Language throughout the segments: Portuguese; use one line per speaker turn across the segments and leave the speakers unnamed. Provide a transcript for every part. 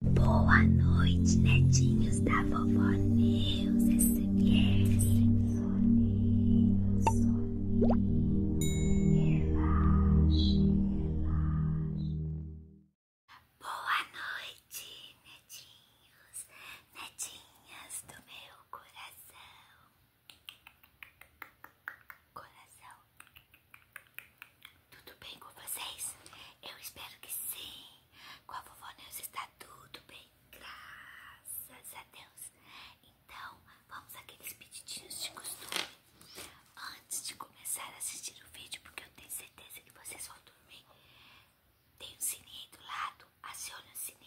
Boa noite, netinhos da vovó Neus SMR. Soninho, soninho, relaxe, Boa noite, netinhos, netinhas do meu coração. Coração. Tudo bem com vocês? Eu espero que sim. Com a vovó Neus está tudo bem, graças a Deus. Então, vamos àqueles pedidinhos de costume. Antes de começar a assistir o vídeo, porque eu tenho certeza que vocês vão dormir, tem um sininho aí do lado, acione o sininho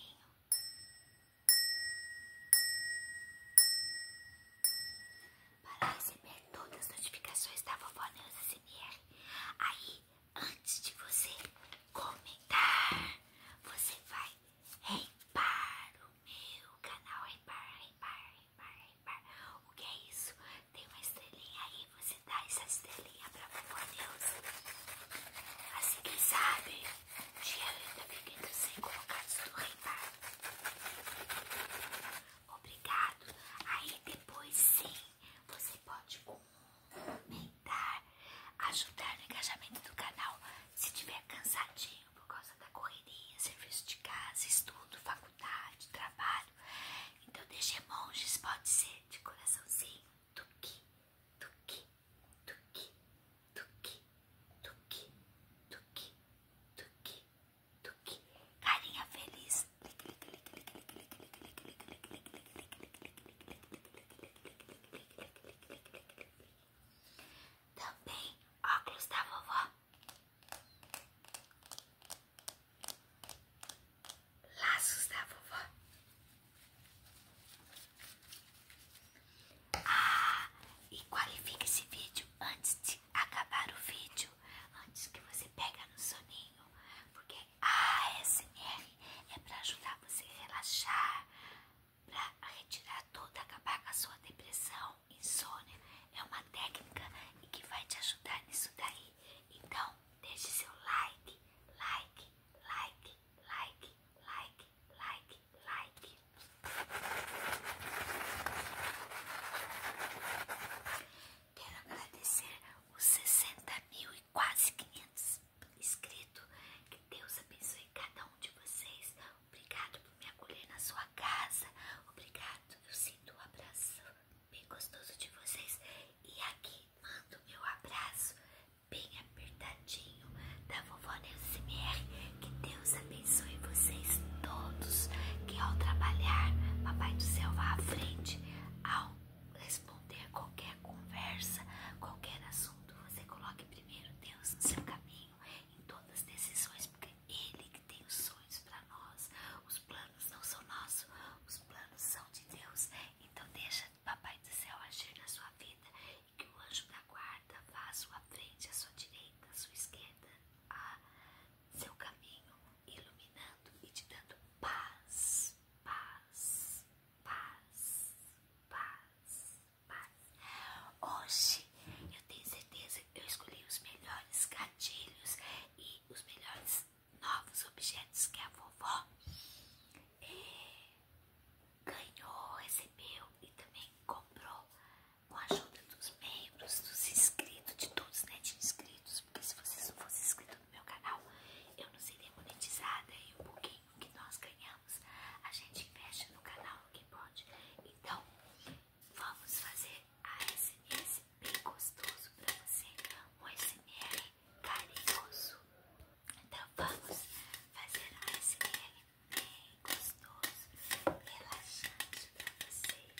para receber todas as notificações da vovó Neuza SMR. Aí, antes de você comentar, você vai reimpar o meu canal. Reimpar, reimpar, reimpar, reimpar. O que é isso? Tem uma estrelinha aí, você dá essa estrelinha pra vovó Neuza. Assim quem sabe, o dinheiro ainda fica entre os 100 colocados do reimpar. Obrigado. Aí depois sim, você pode comentar, ajudar no engajamento do canal se tiver cansadinho por causa da correria, serviço de casa, estudo, faculdade, trabalho. Então, deixe monjes pode ser de coraçãozinho, tuki tuki tuki tuki tuki tuki tuki do que carinha feliz. Também óculos da vovó. Laços da vovó. Ah, e qualifique esse vídeo antes de acabar o vídeo antes que você pega no soninho, porque a ASMR é para ajudar você a relaxar, para retirar toda, acabar com a sua depressão, insônia. É uma técnica que vai te ajudar nisso daí. Então, deixe seu like, like, like, like, like, like, like. Quero agradecer os 60 mil e quase 500 inscritos. Que Deus abençoe cada um de vocês. Obrigado por me acolher na sua casa. Obrigado. Eu sinto o abraço bem gostoso de vocês. E aqui mando meu abraço bem apertadinho da vovó MR Que Deus abençoe vocês todos. Que ao trabalhar, Papai do Céu vá à frente. Ao responder qualquer conversa, qualquer assunto, você coloque primeiro Deus no seu caminho, em todas as decisões, porque Ele que tem os sonhos para nós. Os planos não são nossos, os planos são de Deus. Então deixa o Papai do Céu agir na sua vida e que o anjo da guarda vá à sua frente, à sua direita, à sua esquerda, a seu caminho, iluminando e te dando paz, paz, paz, paz, paz. Hoje eu tenho certeza que eu escolhi os melhores gatilhos e os melhores novos objetos que a vovó eh, ganhou, recebeu e também comprou com a ajuda dos membros, dos inscritos, de todos, os né, De inscritos, porque se você não fossem inscrito no meu canal, eu não seria monetizada e o pouquinho que nós ganhamos a gente investe no canal o que pode. Então, vamos fazer um SMS bem gostoso para você, um SMR carinhoso. Então, vamos fazer um SMR bem gostoso, relaxante para vocês.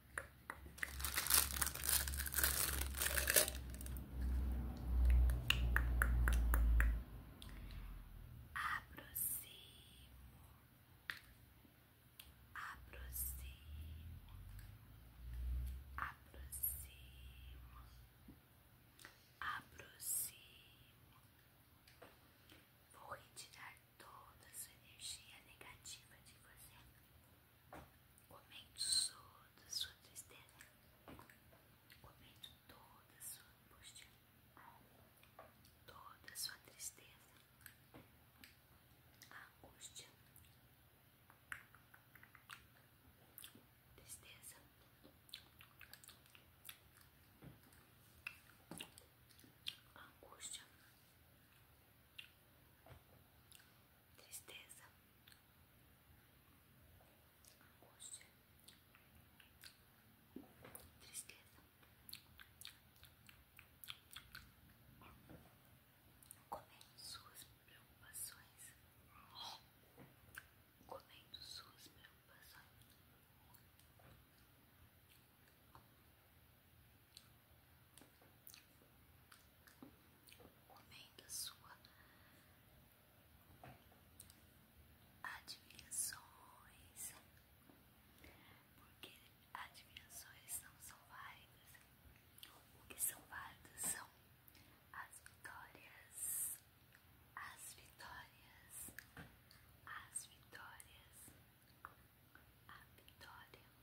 Aproximo, aproximo, aproximo, aproximo. Vou retirar toda a sua energia negativa de você. Comento toda a sua tristeza. Comento toda sua angústia. Toda sua tristeza. angústia. Tristeza. Angústia tristeza, angústia, tristeza, comendo suas preocupações, comendo suas preocupações comendo a sua admirações, porque admirações não são válidas. O que são válidas são as vitórias, as vitórias, as vitórias, a vitória.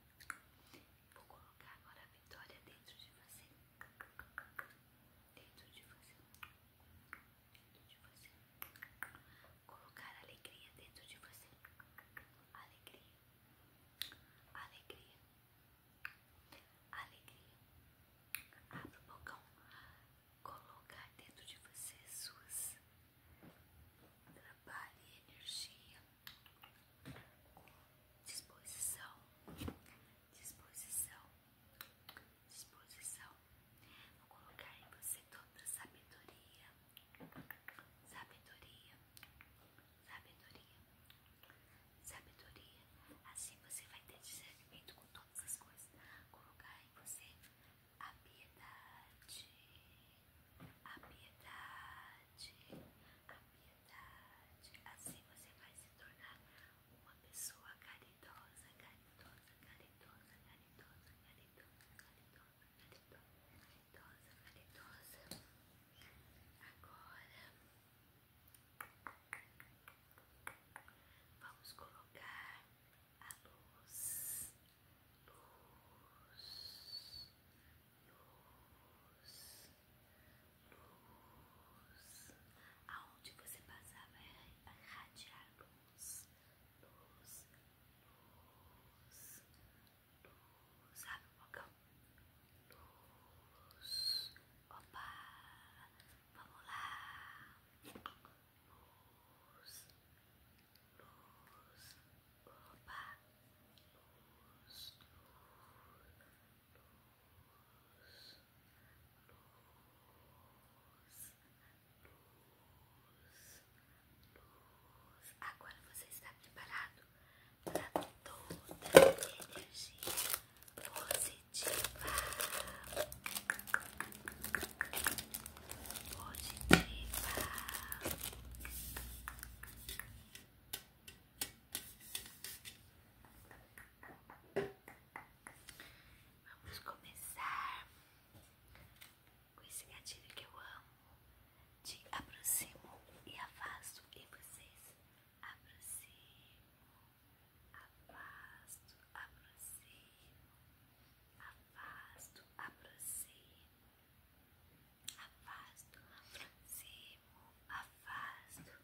Vou colocar agora a vitória dentro de você. Dentro de você. Dentro de você. Colocar alegria dentro de você. Alegria. Alegria. Alegria. Abra o bocão. Colocar dentro de você suas trabalho energia disposição, disposição, disposição. Vou colocar em você toda sabedoria, sabedoria, sabedoria, sabedoria. Assim você vai ter discernimento com todas as coisas. Colocar em você a piedade, a piedade, a piedade. Assim você vai se tornar uma pessoa caridosa, caridosa, caridosa, caridosa, caridosa, caridosa, caridosa, caridosa, caridosa. Agora vamos colocar a luz, luz, luz, luz. Aonde você passava era radiar luz, luz, luz, luz. Sabe o bocão? Luz. Opa, vamos lá. Luz, luz, opa, luz, luz. Agora você está preparado para toda energia Positiva. Positiva. Vamos começar com esse gatilho que eu amo. De aproximo e afasto. E vocês? Aproximo, afasto, aproximo, afasto, aproximo, afasto, aproximo, afasto,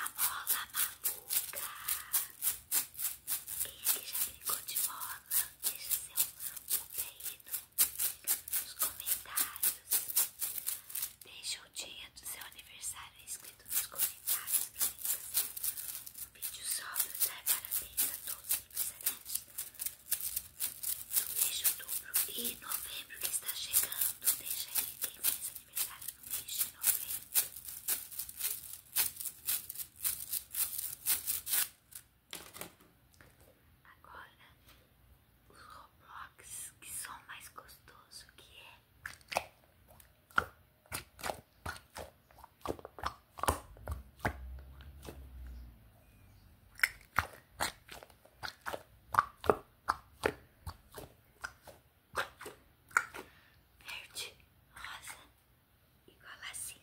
A mola maluca. Quem aqui já brincou de mola? Deixa seu pulo aí nos comentários. Deixa o dia do seu aniversário escrito nos comentários um vídeo só para dar parabéns a todos os aniversariantes do outubro e novembro que está chegando. Deixa aí que vocês pegaram no mês de Agora, os Roblox, que são mais gostoso que é verde, rosa, igual assim.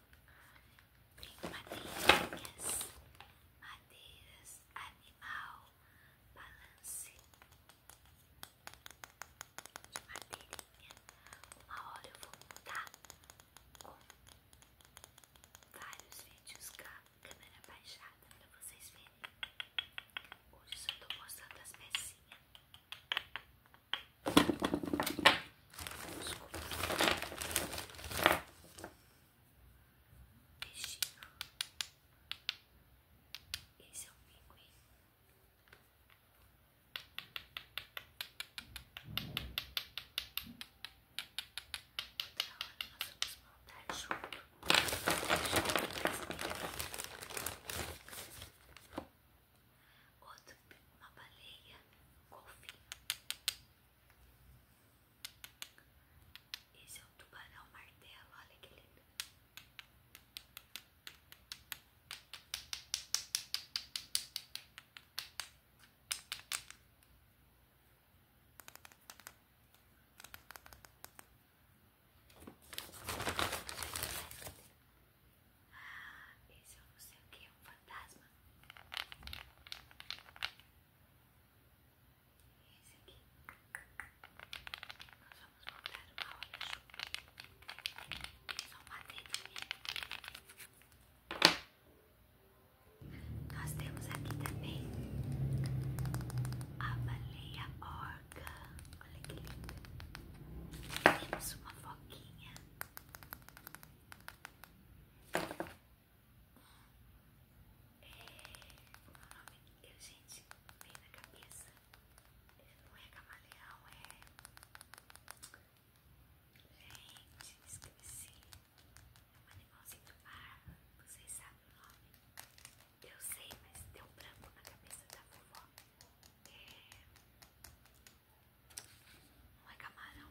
Tem madeirinhas, madeiras, animal, balance de madeirinha. Uma hora eu vou montar com vários vídeos com a câmera baixada para vocês verem. Hoje só estou mostrando as pecinhas. Desculpa peixinho. Esse é um pinguim. Outra hora nós vamos montar junto. Outro, uma baleia, um golfinho. Esse é o tubarão martelo, olha que lindo. Ah, esse eu não sei o que, é um fantasma. Esse aqui. Nós vamos montar uma roda junto. Só uma dedinha. Nós temos aqui também a baleia orca. Olha que linda. Temos uma foquinha. É, como é o nome? Eu, gente, veio na cabeça. Não é camaleão, é. Gente, esqueci. É um animalzinho do mar. Vocês sabem o nome? Eu sei, mas deu branco na cabeça da vovó. É. Não é camarão,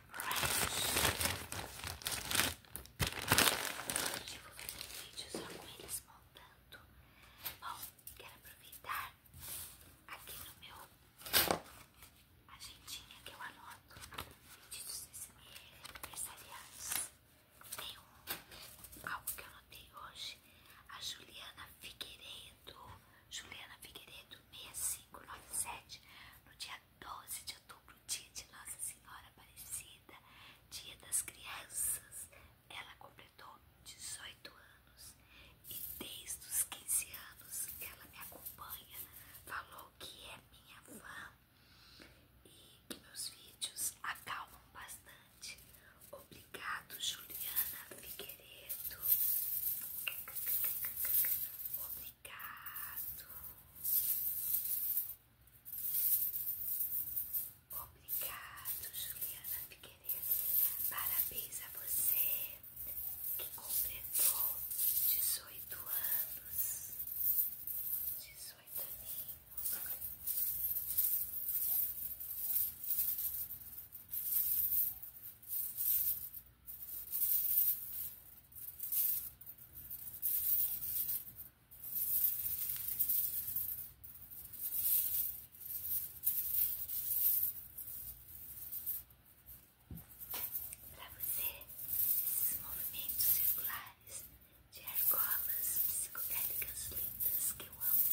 Hoje eu vou fazer vídeo só com eles montando. Bom, quero aproveitar aqui no meu agendinha que eu anoto pedidos aniversariantes. Tem um, algo que eu anotei hoje. A Juliana Figueiredo, Juliana Figueiredo 6597, no dia 12 de de outubro, dia de Nossa Senhora Aparecida, dia das crianças, ela completou 18 anos e desde os 15 anos ela me acompanha, falou que é minha fã e que meus vídeos acalmam bastante. Obrigado, Juliana Figueiredo. Obrigado. Obrigado, Juliana Figueiredo. Parabéns a você que completou 18 anos. 18 aninhos. Para você, esses movimentos circulares de argolas psicodélicas lindas que eu amo.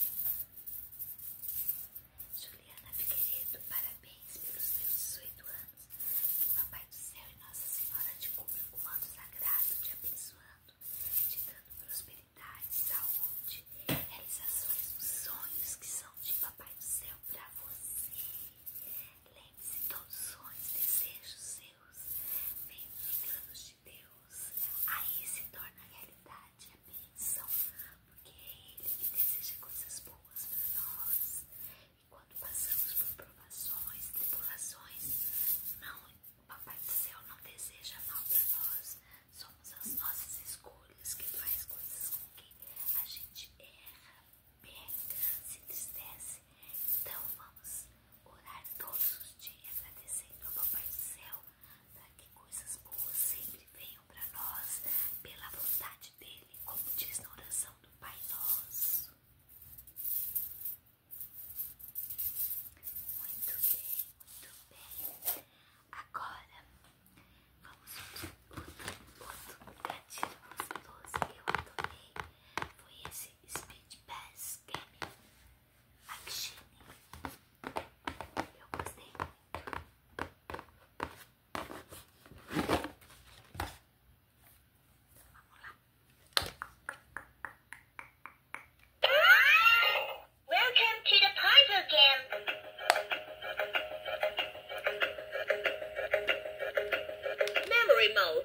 Juliana Figueiredo, parabéns pelos seus 18 anos anos. Que Papai do Céu e Nossa Senhora te cumpram com o sagrado, te abençoando, te dando prosperidade, saúde, realizações dos sonhos que são de Papai do Céu para você. Lembre-se todos os sonhos, desejos seus, vem dos planos de Deus. Aí se torna realidade a bênção, porque é Ele que deseja coisas boas para nós quando passamos por provações, tribulações, não, o Papai do Céu não deseja mal para nós. Somos as nossas escolhas que faz coisas com que a gente erra, peca, se entristece. Então vamos orar todos os dias agradecendo ao Papai do Céu para que coisas boas sempre venham para nós pela vontade dele, como diz na oração do Pai Nosso. Muito bem, muito bem. Agora vamos outro, outro gatilho gostoso que eu adorei. Foi esse Speed Pass Game Action. Eu gostei muito. Welcome to the puzzle game. Memory mode.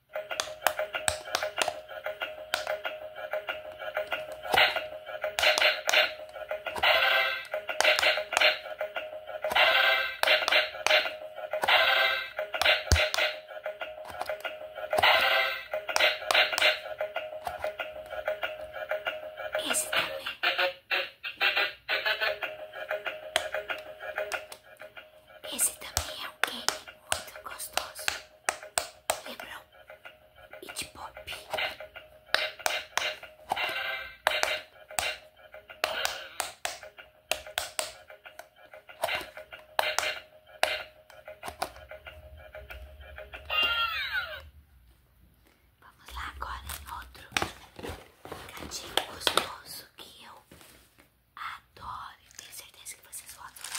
Esse também é um queijo muito gostoso e de Pop. Vamos lá agora outro gatinho gostoso que eu adoro tenho certeza que vocês vão adorar.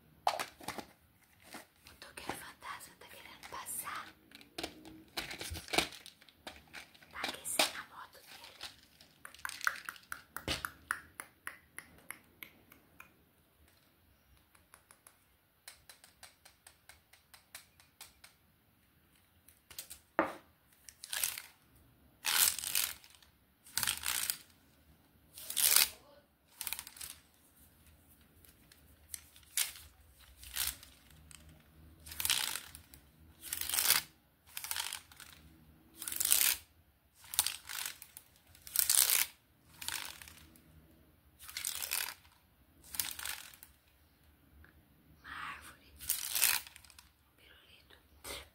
O Tucker Fantasma tá querendo passar. Tá aquecendo a moto dele. Uma árvore, um pirulito.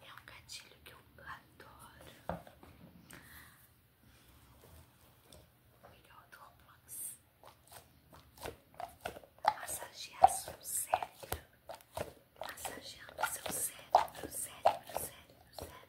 É um gatilho que eu adoro. melhor do Roblox. Massagear seu cérebro. Massageando seu cérebro, cérebro, cérebro, cérebro.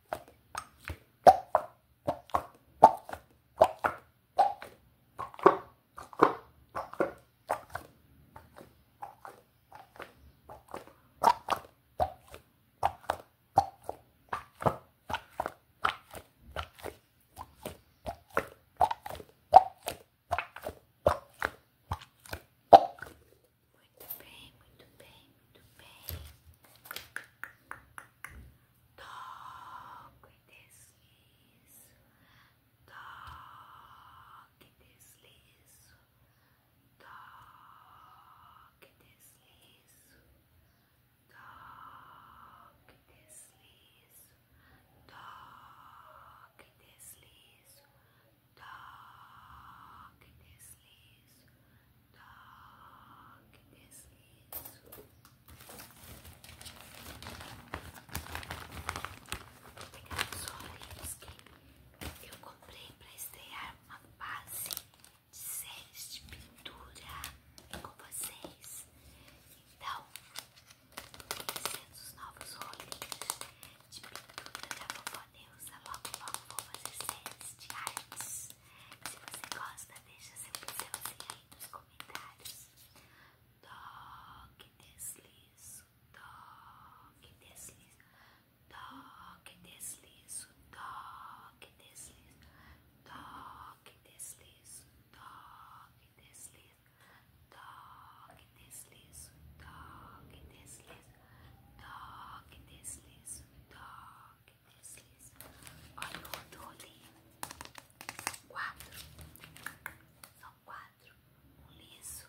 Muito bem, muito bem. Muito bem. Toque e deslizo. Toque e deslizo. Toque e deslizo. Toque deslizo. Toque deslizo. Toque deslizo toque, deslizo. Vou pegar os olhinhos que eu comprei para estrear uma base de séries de pintura com vocês. Então, conhecendo é os novos rolinhos de pintura da Vovó Neuza, logo logo vou fazer séries de artes se você gosta, deixa seu pincelzinho aí nos comentários. Toque, deslizo, toque, deslizo, toque, deslizo, toque, deslizo, toque, deslizo, toque, deslizo, toque, deslizo, toque, deslizo, toque, deslizo, toque que precisa. Olha o rodolho. São quatro. São quatro. Um liso,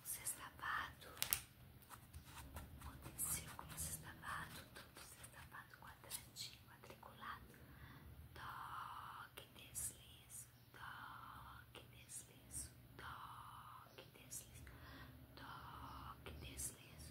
um sextapado, um círculo sextapado, todo sextapado quadradinho, quadriculado. Toque, deslizo, toque, deslizo, toque, deslizo, toque, deslizo.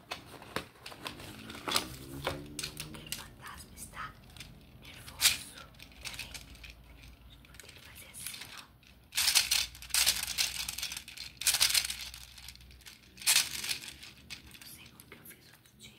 Aquele fantasma está nervoso. Peraí. Vou ter que fazer assim, Não sei como que eu fiz outro dia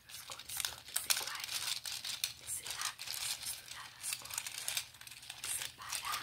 as cores todas iguais, esse lápis, misturar as cores, separar.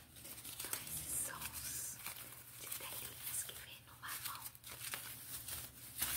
Então esses sons de telinhas que vem no marrom. Então,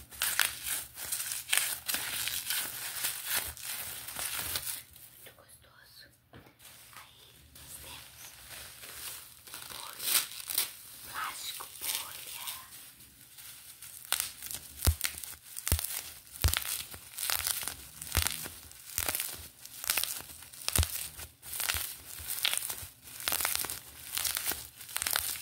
Muito gostoso. Aí nós bolha, plástico bolha.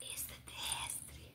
Extraterrestre.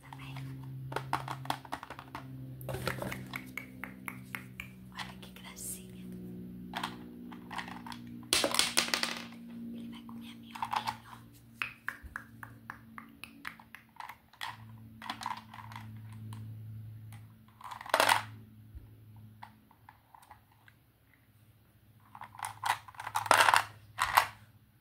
também. Olha que gracinha. Ele vai comer a minhoquinha,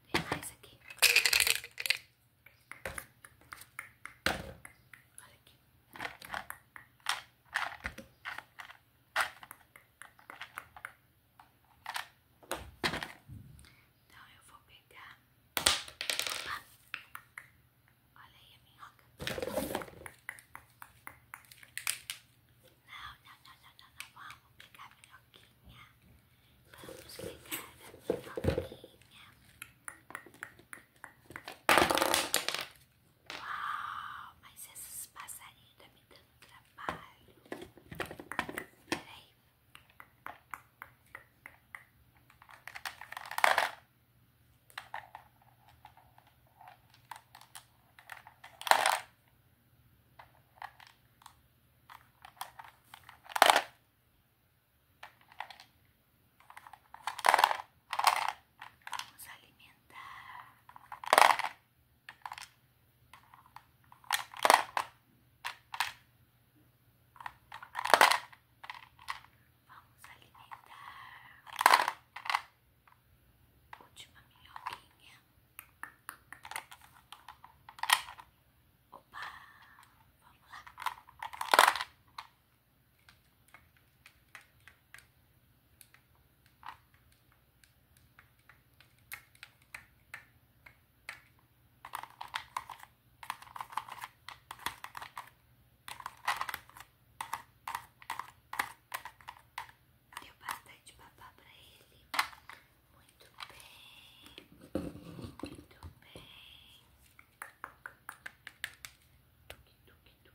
Tem mais aqui. Olha aqui. Então eu vou pegar. Olha aí a minhoca. Não, não, não, não, não, não. Vamos pegar a minhoquinha. Vamos pegar a minhoquinha. Uau, mas esses passarinhos tá me dando trabalho. Peraí. Vamos alimentar. Vamos alimentar. Última minhoquinha. Opa, vamos lá. Deu bastante papá pra ele. Muito bem. Muito bem. Muito lindo, né?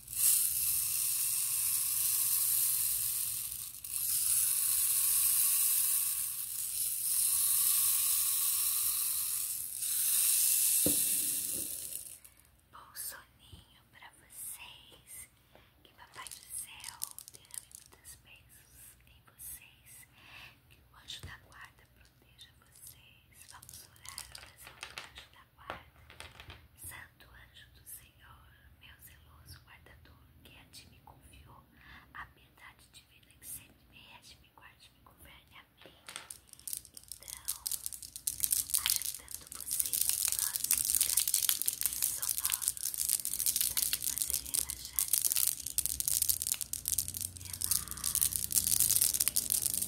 Bom soninho pra vocês. Que Papai do Céu tenha muitas bênçãos em vocês. Que o anjo da guarda proteja vocês. Vamos orar a oração do anjo da Santo anjo do Senhor, meu zeloso guardador, que a ti me confiou a piedade divina que sempre me rege, me guarde, me e Amém. Então, ajudando você nos próximos gatilhos sonoros para te fazer relaxar e dormir. Relaxa.